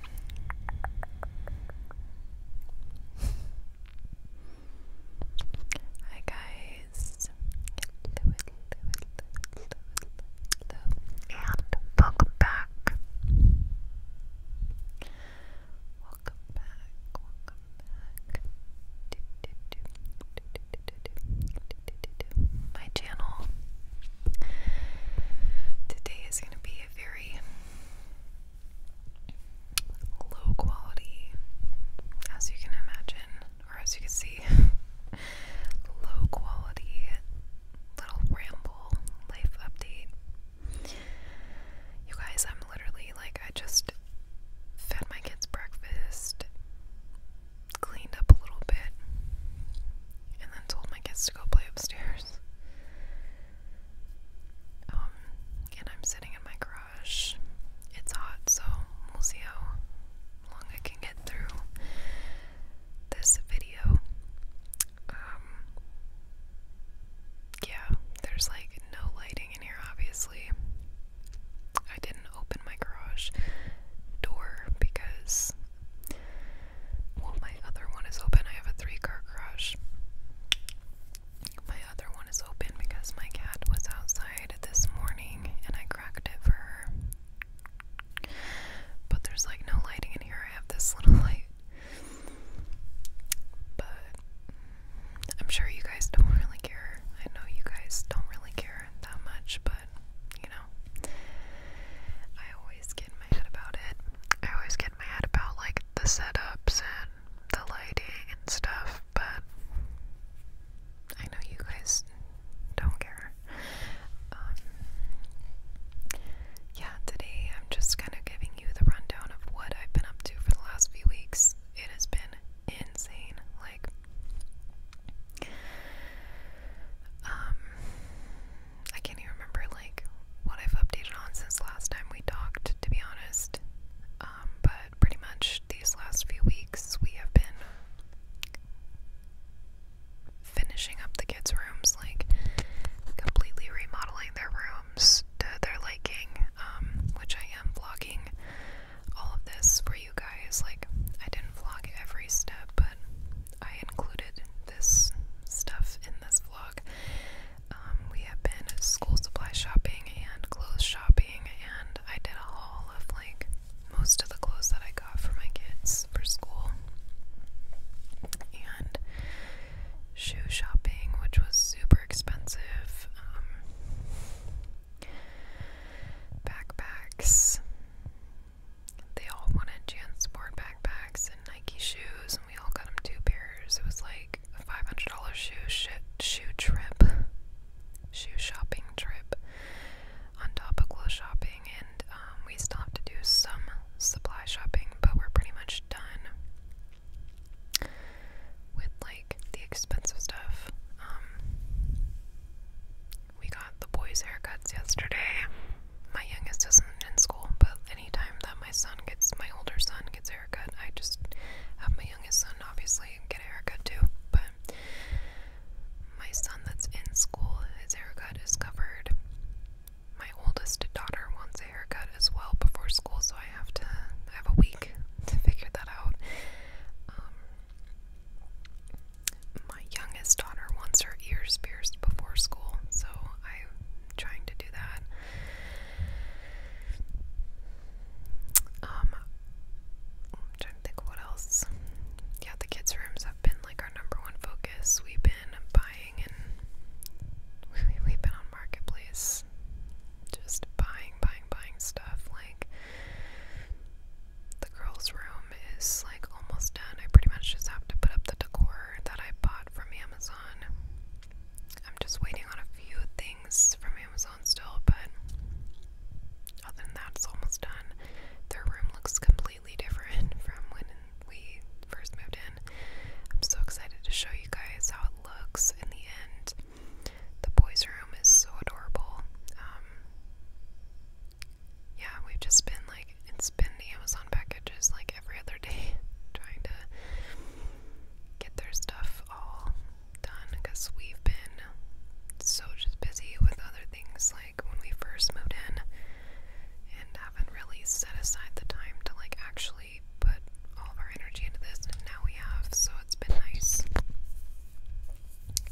Hi guys. And welcome back. Welcome back. Welcome back. My channel. Today is going to be a very low quality, as you can imagine, or as you can see, low quality little ramble life update. You guys, I'm literally like, I just fed my kids breakfast, cleaned up a little bit, and then told my kids to go play upstairs. Um, and I'm sitting in my garage. It's hot, so we'll see how long I can get through this video. Um, yeah, there's like no lighting in here, obviously. I didn't open my garage door because well, my other one is open. I have a three car garage. My other one is open because my cat was outside this morning and I cracked it for her. But there's like no lighting in here. I have this little light. But I'm sure you guys don't really care. I know you guys don't really care that much, but you know? I always get in my head about it. I always get in my head about like the setups and the lighting and stuff, but I know you guys don't care. Um, yeah, today I'm just kind of giving you the rundown of what I've been up to for the last few weeks. It has been insane. Like, um, I can't even remember like what I've updated on since last time we talked, to be honest. Um, but pretty much these last few weeks we have been finishing up the kids' rooms, like completely remodeling their rooms to their liking, um, which I am vlogging all of this for you guys. Like I didn't vlog every step, but I included this stuff in this vlog. Um, we have been school supply shopping and clothes shopping, and I did a haul of like most of the clothes that I got for my kids for school. And shoe shopping, which was super expensive. Um, backpacks, they all wanted Jan's sport backpacks and Nike shoes, and we all got them two pairs. It was like a five hundred dollar shoe shit shoe trip, shoe shopping trip, on top of clothes shopping, and um, we still have to do some supply shopping, but we're pretty much done with like the expensive stuff. Um, we got the boys' haircuts yesterday. My youngest isn't in school, but anytime that my son gets, my older son gets a haircut, I just have my youngest son obviously get a haircut too. But my son that's in school, his haircut is covered. My oldest daughter wants a haircut as well before school, so I have to I have a week to figure that out. Um, my youngest daughter wants her ears pierced before school, so I'm trying to do that. Um, trying to think what else. Yeah, the kids' rooms have been like our number one focus. We've been buying and we've been on Marketplace just buying, buying, buying stuff. Like, the girls' room is like almost done. I pretty much just have to put up the decor that I bought from Amazon. I'm just waiting on a few things from Amazon still, but other than that, it's almost done. Their room looks completely different from when we first moved in. I'm so excited to show you guys how it looks in the end. The boys' room is so adorable. Um, yeah, we've just been like, it's been Amazon packages like every other day trying to get their stuff all done because we've been so just busy with other things like when we first moved in and haven't really set aside the time to like actually put all of our energy into this and now we have so it's been nice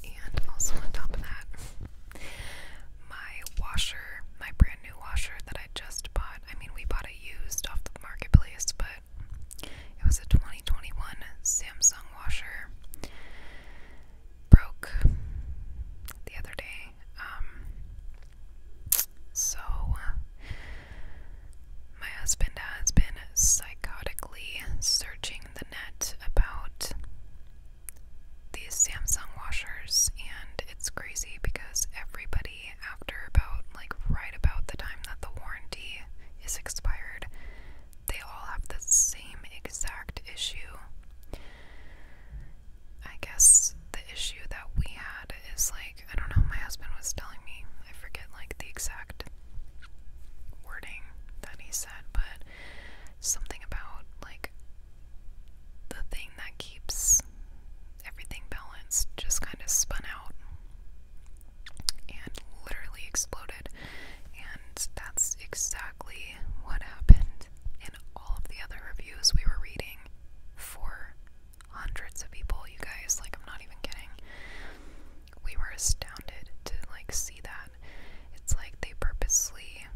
and also on top of that my washer, my brand new washer that I just bought. I mean, we bought it used off the marketplace, but it was a 2021 Samsung washer. Broke the other day. Um, so, my husband has been psychotically searching the net about these Samsung washers, and it's crazy because everybody, after about like right about the time that the warranty is expired, they all have the same exact issue. I guess the issue that we had is like, I don't know, my husband was telling me, I forget like the exact wording that he said, but something about like the thing that keeps everything balanced just kind of spun out and literally exploded. And that's exactly what happened in all of the other reviews we were reading for hundreds of people, you guys. Like, I'm not even kidding. We were astounded to like see that that. It's like they purposely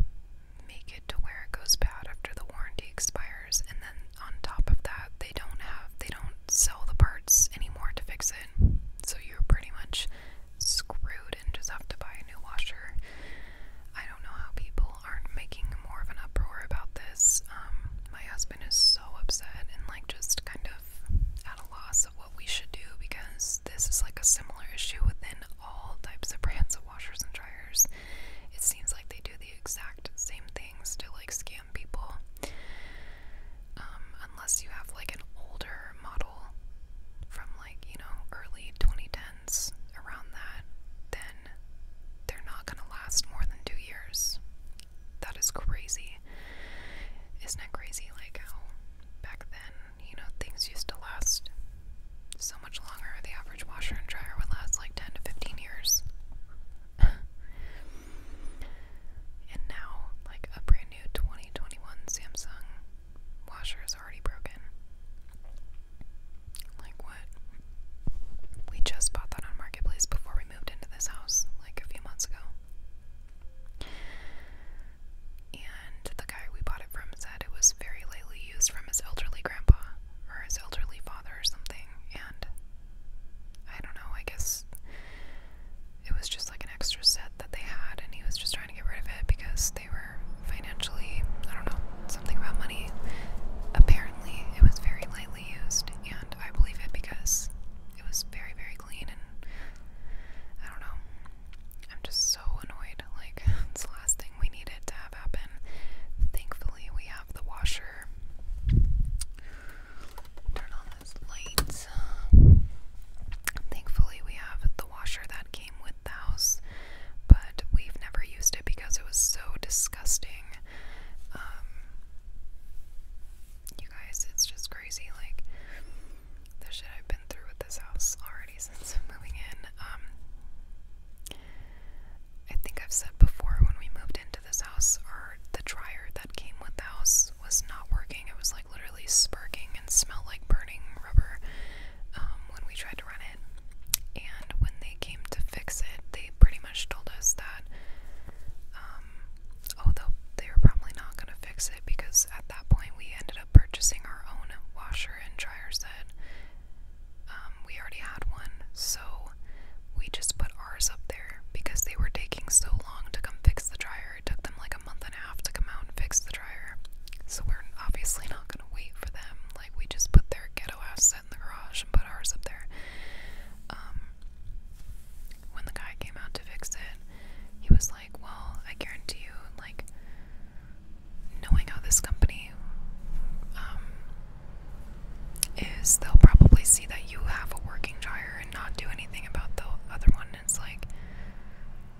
make it to where it goes bad after the warranty expires and then on top of that they don't have they don't sell the parts anymore to fix it. So you're pretty much screwed and just have to buy a new washer. I don't know how people aren't making more of an uproar about this. Um my husband is so upset and like just kind of at a loss of what what we should do because this is like a similar issue within all types of brands of washers and dryers. It seems like they do the exact same things to like scam people. Um, unless you have like an older model from like, you know, early 2010s around that, then they're not gonna last more than two years. That is crazy. Isn't it crazy like how back then you know, things used to last so much longer. The average washer and dryer would last like 10 to 15 years. and now, like a brand new 2021 Samsung washer is already broken. Like, what? We just bought that on Marketplace before we moved into this house, like a few months ago and the guy we bought it from said it was very lightly used from his elderly grandpa or his elderly father or something, and I don't know, I guess it was just like an extra set that they had, and he was just trying to get rid of it because they were financially, I don't know, something about money. Apparently, it was very lightly used, and I believe it because it was very, very and I don't know. I'm just so annoyed. Like it's the last thing we needed to have happen. Thankfully we have the washer. Turn on this light. Thankfully we have the washer that came with the house, but we've never used it because it was so disgusting. Um you guys, it's just crazy like the shit I've been through with this house already since moving in. Um, I think I've said before when we moved into this house, our the dryer that came with the house was not working. It was like literally sparking and smelled like burning rubber um, when we tried to run it. And when they came to fix it, they pretty much told us that, um, oh, they were probably not going to fix it because at at that point, we ended up purchasing our own washer and dryer set. Um, we already had one, so we just put ours up there because they were taking so long to come fix the dryer. It took them like a month and a half to come out and fix the dryer. So we're obviously not going to wait for them. Like, we just put their ghetto ass set in the garage and put ours up there. Um, when the guy came out to fix it, he was like, well, I guarantee you, like, knowing how this company um, is, they'll probably see that you have a working dryer and not do anything about the other one. And it's like,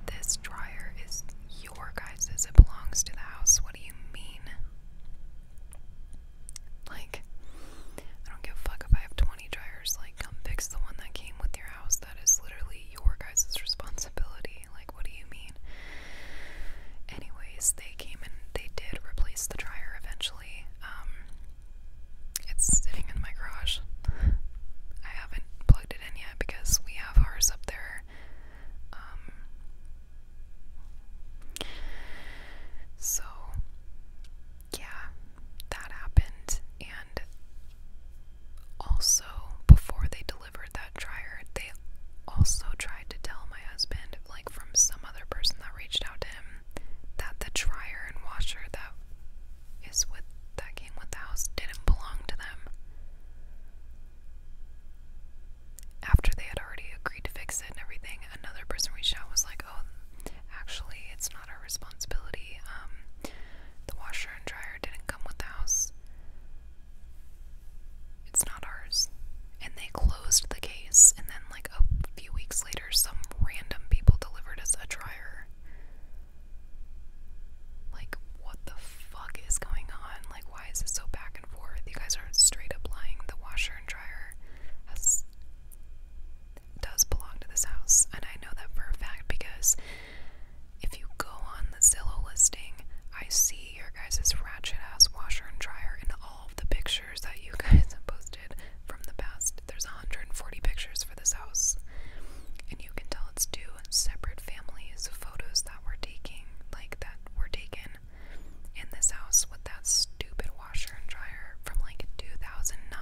this dryer is your guys's, it belongs to the house. What do you mean? Like, I don't give a fuck if I have 20 20 dryers, like, come fix the one that came with your house. That is literally your guys' responsibility. Like, what do you mean? Anyways, they came and they did replace the dryer eventually. Um, it's sitting in my garage. I haven't plugged it in yet because we have ours up there. Um, so yeah, that happened. And also, before they delivered that dryer, they also tried to tell my husband, like from some other person that reached out to him, that the dryer and washer that is with that came with the house didn't belong to them. After they had already agreed to fix it and everything, another person reached out was like, "Oh, actually, it's not our responsibility. Um, the washer and dryer didn't come with the house. It's not ours. And they closed the case, and then, like, a few weeks later, some random people delivered us a dryer. Like, what the fuck is going on? Like, why is it so back and forth? You guys are straight up lying. The washer and dryer has does belong to this house, and I know that for a fact because if you go on the Zillow listing, I see your guys' ratchet ass washer and dryer in all of the pictures that you guys have posted from the past. There's 140 pictures for this house, and you can tell it's two separate families' photos that were taking, like that were taken in this house with that stupid washer and dryer from like 2009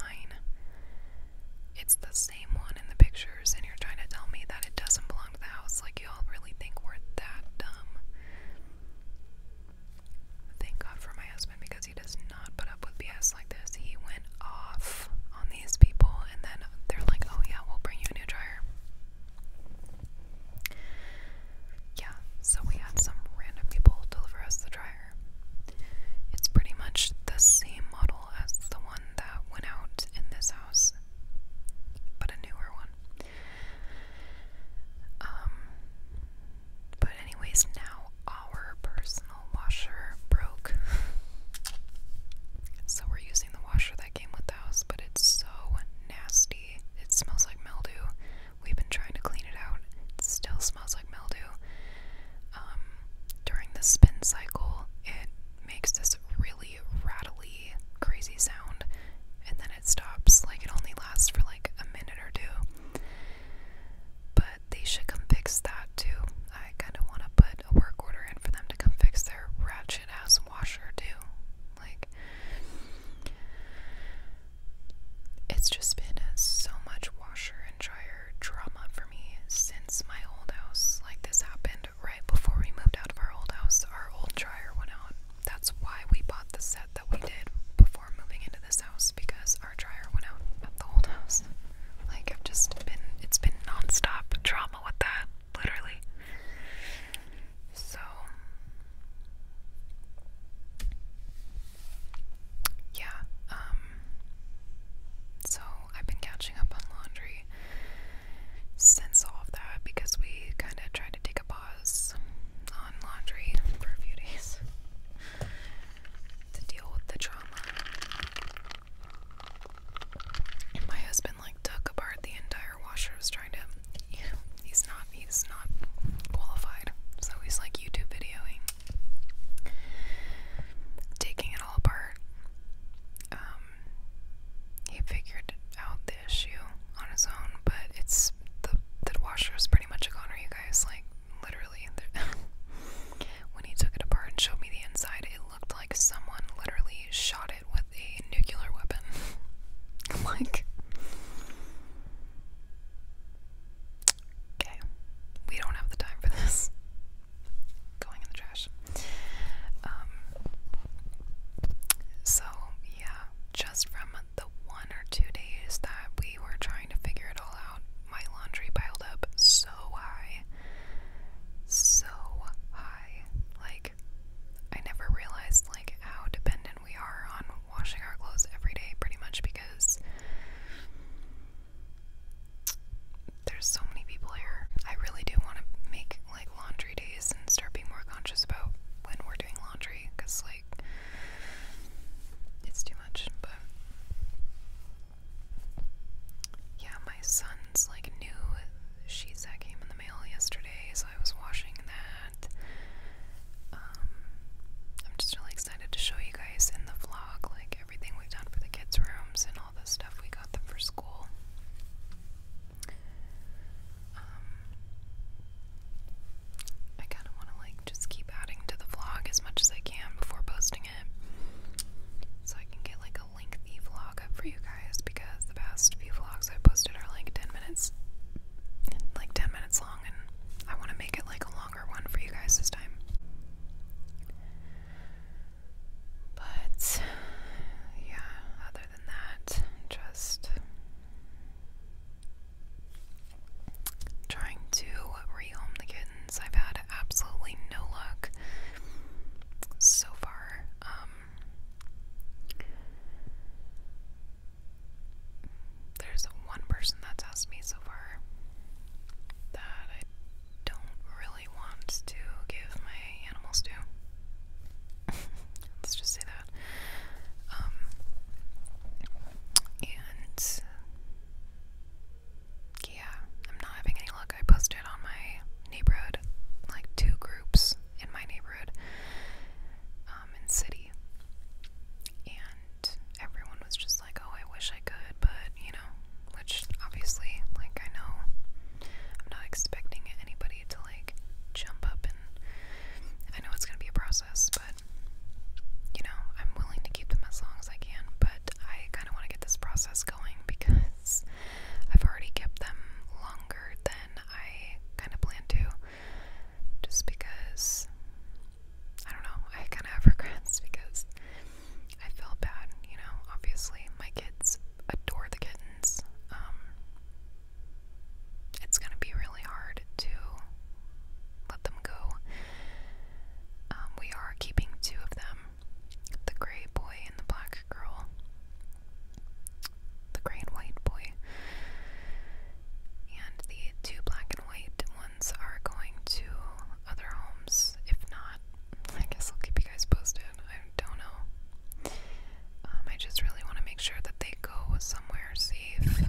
it's the same one in the pictures, and you're trying to tell me that it doesn't belong to the house. Like, y'all really think we're that dumb. Thank God for my husband because he does not put up with BS like this. He went off on these people, and then they're like, oh, yeah, we'll bring you a new dryer. Yeah, so we had some random people deliver us the dryer it's pretty much the same model as the one that went out in this house, but a newer one. Um, but, anyways, now our personal washer broke. so, we're using the washer that came with the house, but it's so nasty. It smells like mildew. We've been trying to clean it out, it still smells like mildew. Um, during the spin cycle, it makes this really rattly, crazy sound, and then it stops. Like, it only lasts for like a minute or two. But they should come fix that too. I kind of want to put a work order in for them to come fix their ratchet ass washer too. Like, it's just been so much washer and dryer major drama for me since my old house. Like, this happened right before we moved out of our old house. Our old dryer went out. That's why we bought the set that we did before moving into this house because our dryer went out at the old house. Like, I've just been, it's been nonstop drama with that, literally. So, yeah, um, so I've been catching up on laundry since all of that because we kind of tried to take a pause on laundry for a few days to deal with the trauma. my husband like took apart the entire washer. I trying to, he's not he's not qualified, so he's like YouTube videoing Taking it all apart, um, he figured out the issue on his own, but it's the the washer is pretty much a goner, you guys. Like literally, when he took it apart and showed me the inside, it looked like someone literally shot it with a nuclear weapon. like Okay, we don't have the time for this. Going in the trash. Um, so, yeah, just from the one or two days that we were trying to figure it all out, my laundry piled up so high. So high. Like, I never realized, like, how dependent we are on washing our clothes every day pretty much because there's so many people here. I really do want to make like laundry days and start being more conscious about when we're doing laundry because like it's too much. But yeah, my son's like new sheets that came in the mail yesterday, so I was washing that. Um, I'm just really excited to show you guys in the vlog, like everything we've done for the kids' rooms and all the stuff we got them for school. Um, I kind of want to like just keep adding to the vlog as much as I can before posting it, so I can get like a lengthy vlog up for you guys because the past few vlogs I posted are like ten minutes, like ten minutes long, and I want to make it like a long one for you guys this time. But yeah, other than that, just trying to rehome the kittens. I've had absolutely no luck so far. Um, there's one person that's asked me so far that I don't really want to give my animals to. Let's just say that. Um, and yeah, I'm not having any luck. I posted on my neighborhood, like two groups in my neighborhood um, and city and everyone was just like, "Oh, I wish I could," but you know, which obviously, like, I know I'm not expecting anybody to like jump up and I know it's gonna be a process, but you know, I'm willing to keep them as long as I can, but I kind of want to get this process going because I've already kept them longer than I kind of planned to just because I don't know, I kind of have regrets because I feel bad, you know. Obviously, my kids adore the kittens. Um, it's gonna be really hard to let them go. Um, we are keeping two of them the gray boy and the black girl, the gray and white boy. And the two black and white ones are going to other homes. If not, I guess I'll keep you guys posted. I don't know. Um, I just really want to make sure that they go somewhere safe.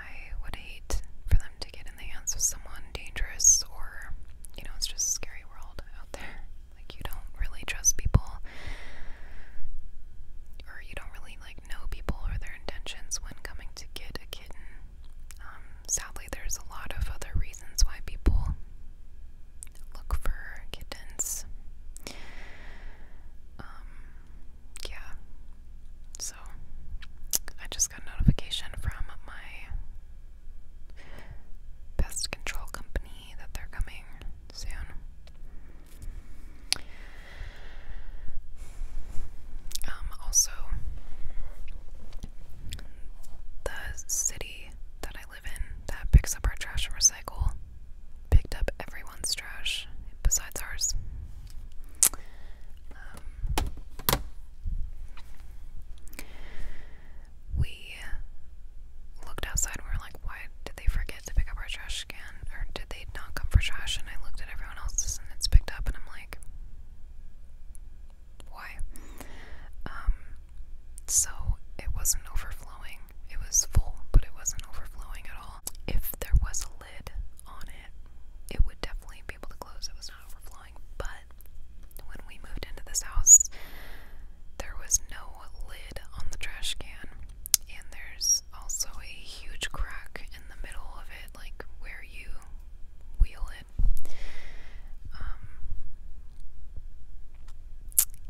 I would hate for them to get in the hands of someone dangerous or, you know, it's just a scary world out there. Like, you don't really trust people or you don't really, like, know people or their intentions when coming to get a kitten. Um, sadly, there's a lot of other reasons why people look for kittens. Um, yeah. So, I just got a notification from my pest control company that they're coming soon. Um, also, the city that I live in that picks up our trash and recycle picked up everyone's trash besides ours. Um, we looked outside we were like, why did they forget to pick up our trash trash can, or did they not come for trash? And I looked at everyone else's and it's picked up, and I'm like, why? Um, so it wasn't overflowing. It was full, but it wasn't overflowing at all. If there was a lid on it, it would definitely be able to close. It was not overflowing, but when we moved into this house, there was no lid on the trash can, and there's also a huge crack in the middle of it, like where you wheel it. Um,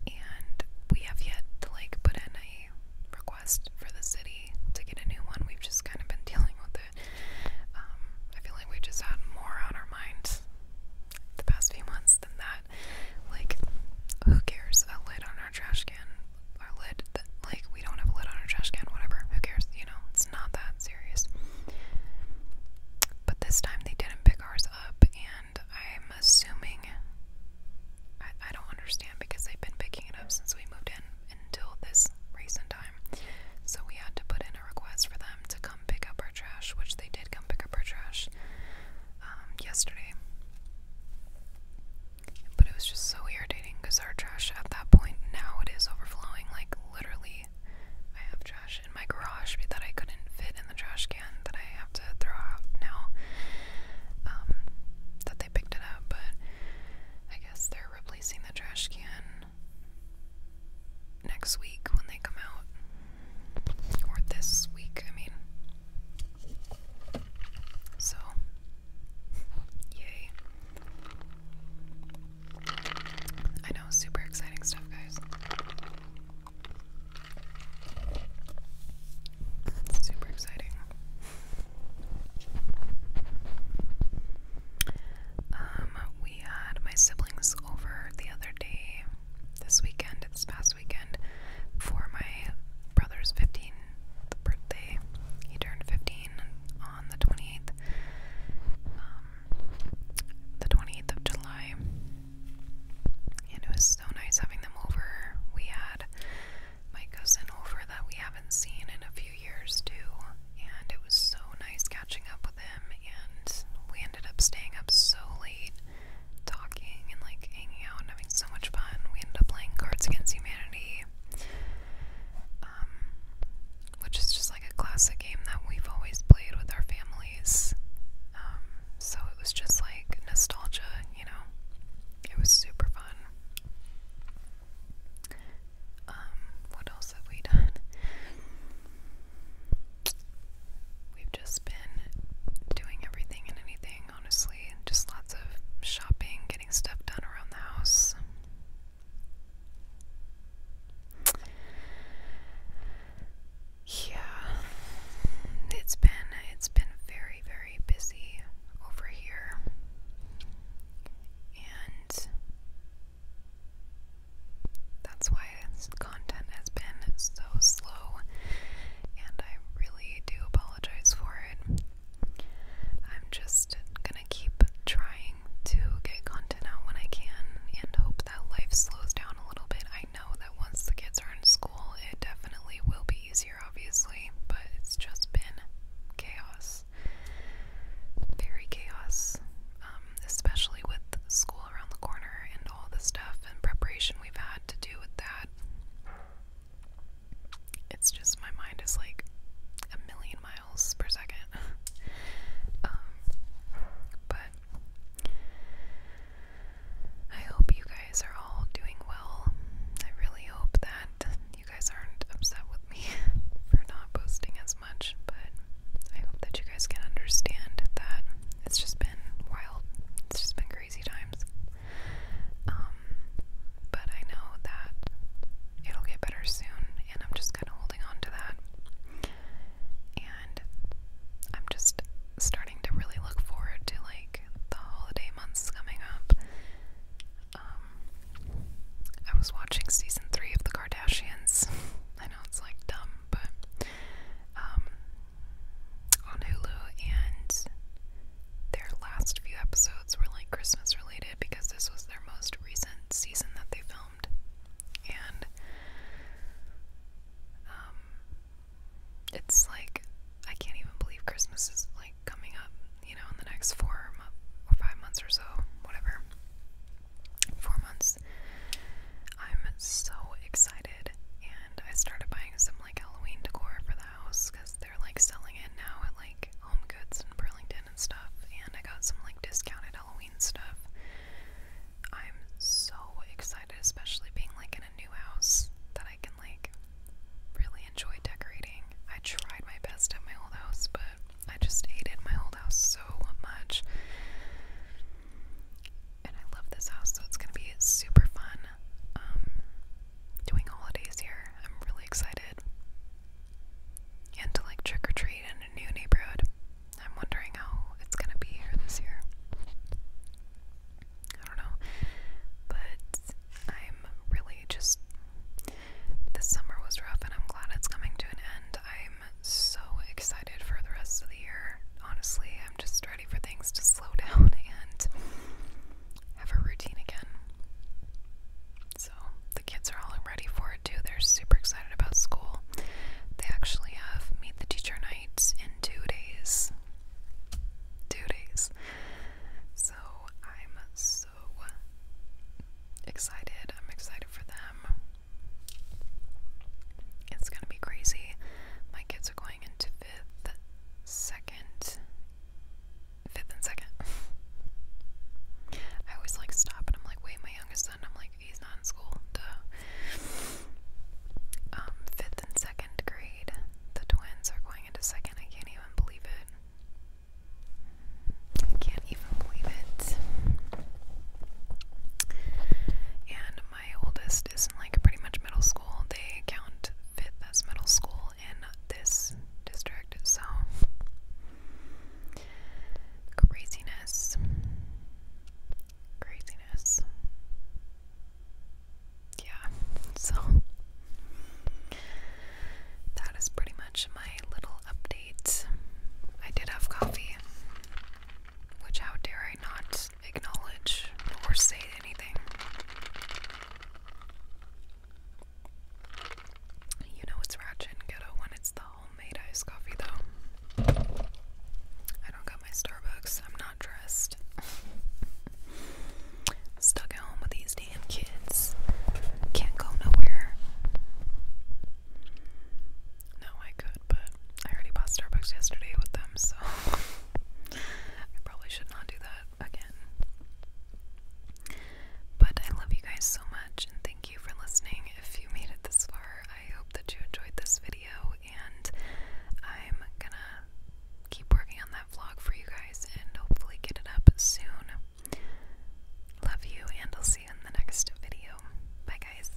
and we have yet to like put in a request for the city to get a new one. We've just kind of been dealing with it. Um, I feel like we just had more on our minds the past few months than that. Like, who cares? A lid on our trash can our lid like we don't have a lid on our trash can, whatever. Who cares? You know, it's not that serious. But this time they didn't pick ours up, and I'm assuming I, don't understand because they've been picking it up since we moved in until this recent time. So we had to put in a request for them to come pick up our trash, which they did come pick up our trash um, yesterday. But it was just so irritating because our trash at that point now it is overflowing. Like literally, I have trash in my garage that I couldn't fit in the trash can that I have to throw out now. Um, that they picked it up, but I guess they're replacing the trash can next week when they come out. Or this week, I mean. So Yay. I know, super exciting stuff, guys. super exciting. Um, we had my siblings over the other day, this weekend, this past weekend for my brother's 15th birthday. He turned 15 on the 28th, um, the 28th of July, and it was so nice having them over. We had my cousin over that we haven't seen in a few years too, and it was so nice catching up with him. And we ended up staying up so late talking and like hanging out and having so much fun. We ended up playing Cards Against Humanity, um, which is just like a classic game that we've always played with our families. Um, so it was just like nostalgia, you know? It was super fun. Um, what else have we done? We've just been doing everything and anything honestly. Just lots of shopping, getting stuff done around the house. Yeah. It's been it's been very, very busy over here. And that's why this content has been so slow, and I really do apologize apologize for it. I'm just gonna keep trying to get content out when I can and hope that life slows down a little bit. I know that once the kids are in school, it definitely will be easier, obviously, but it's just been chaos. Very chaos, um, especially with school around the corner and all the stuff and preparation we've had to do with that. It's just my mind is like a million miles per second. Um, but I hope you guys are all doing well. I really hope that you guys aren't upset with me for not posting as much, but I hope that you guys can understand that it's just been wild. It's just been crazy times. Um, but I know that it'll get better soon, and I'm just kind of holding on to that. And I'm just starting to really look forward to like the holiday months coming up. Um, I was watching season three of The Kardashians. I know it's like dumb, but um, on Hulu, and their last few episodes were like Christmas related because this was their most recent season that they filmed. And um, it's like I can't even believe Christmas is like coming up, you know, in the next four or five months or so, whatever. Four months. I'm so excited, and I started buying some like Halloween decor for the house because they're like selling it now at like Home Goods and Burlington and stuff. And I got some like discounted Halloween stuff. I'm so excited, especially being like in a new house that I can like really enjoy decorating. I tried my best at my old house, but I just hated my old house so much and I love this house, so it's gonna be super fun um, doing holidays here. I'm really excited. And to like trick or treat in a new neighborhood. I'm wondering how it's gonna be here this year. I don't know. But I'm really just. This summer was rough and I'm glad it's coming to an end. I'm so excited for the rest of the Honestly, I'm just ready for things to slow down and have a routine again. So, the kids are all ready for it too. They're super excited about school. They actually have Meet the Teacher Night in two days. Two days. So, I'm so excited. I'm excited for them. It's going to be crazy. My kids are going into fifth, second, fifth and second. I always like stop and I'm like, wait, my youngest son, I'm like, he's not in school. Um, fifth and second grade, the twins are going into second. I can't even believe it. I can't even believe it. And my oldest is in like pretty much middle school. They count fifth as middle school in this district, so craziness. Craziness. Yeah, so that is pretty much my little update. I did have coffee, which, how dare I not acknowledge or say anything. You know it's ratchet when it's the homemade iced coffee, though. I don't got my Starbucks. I'm not dressed. Stuck at home with these damn kids. Can't go nowhere. No, I could but I already bought Starbucks yesterday with them, so I probably should not do that again. But I love you guys so much, and thank you for listening. If you made it this far, I hope that you enjoyed this video, and I'm gonna keep working on that vlog for you guys and hopefully get it up soon. Love you, and I'll see you in the next video. Bye, guys.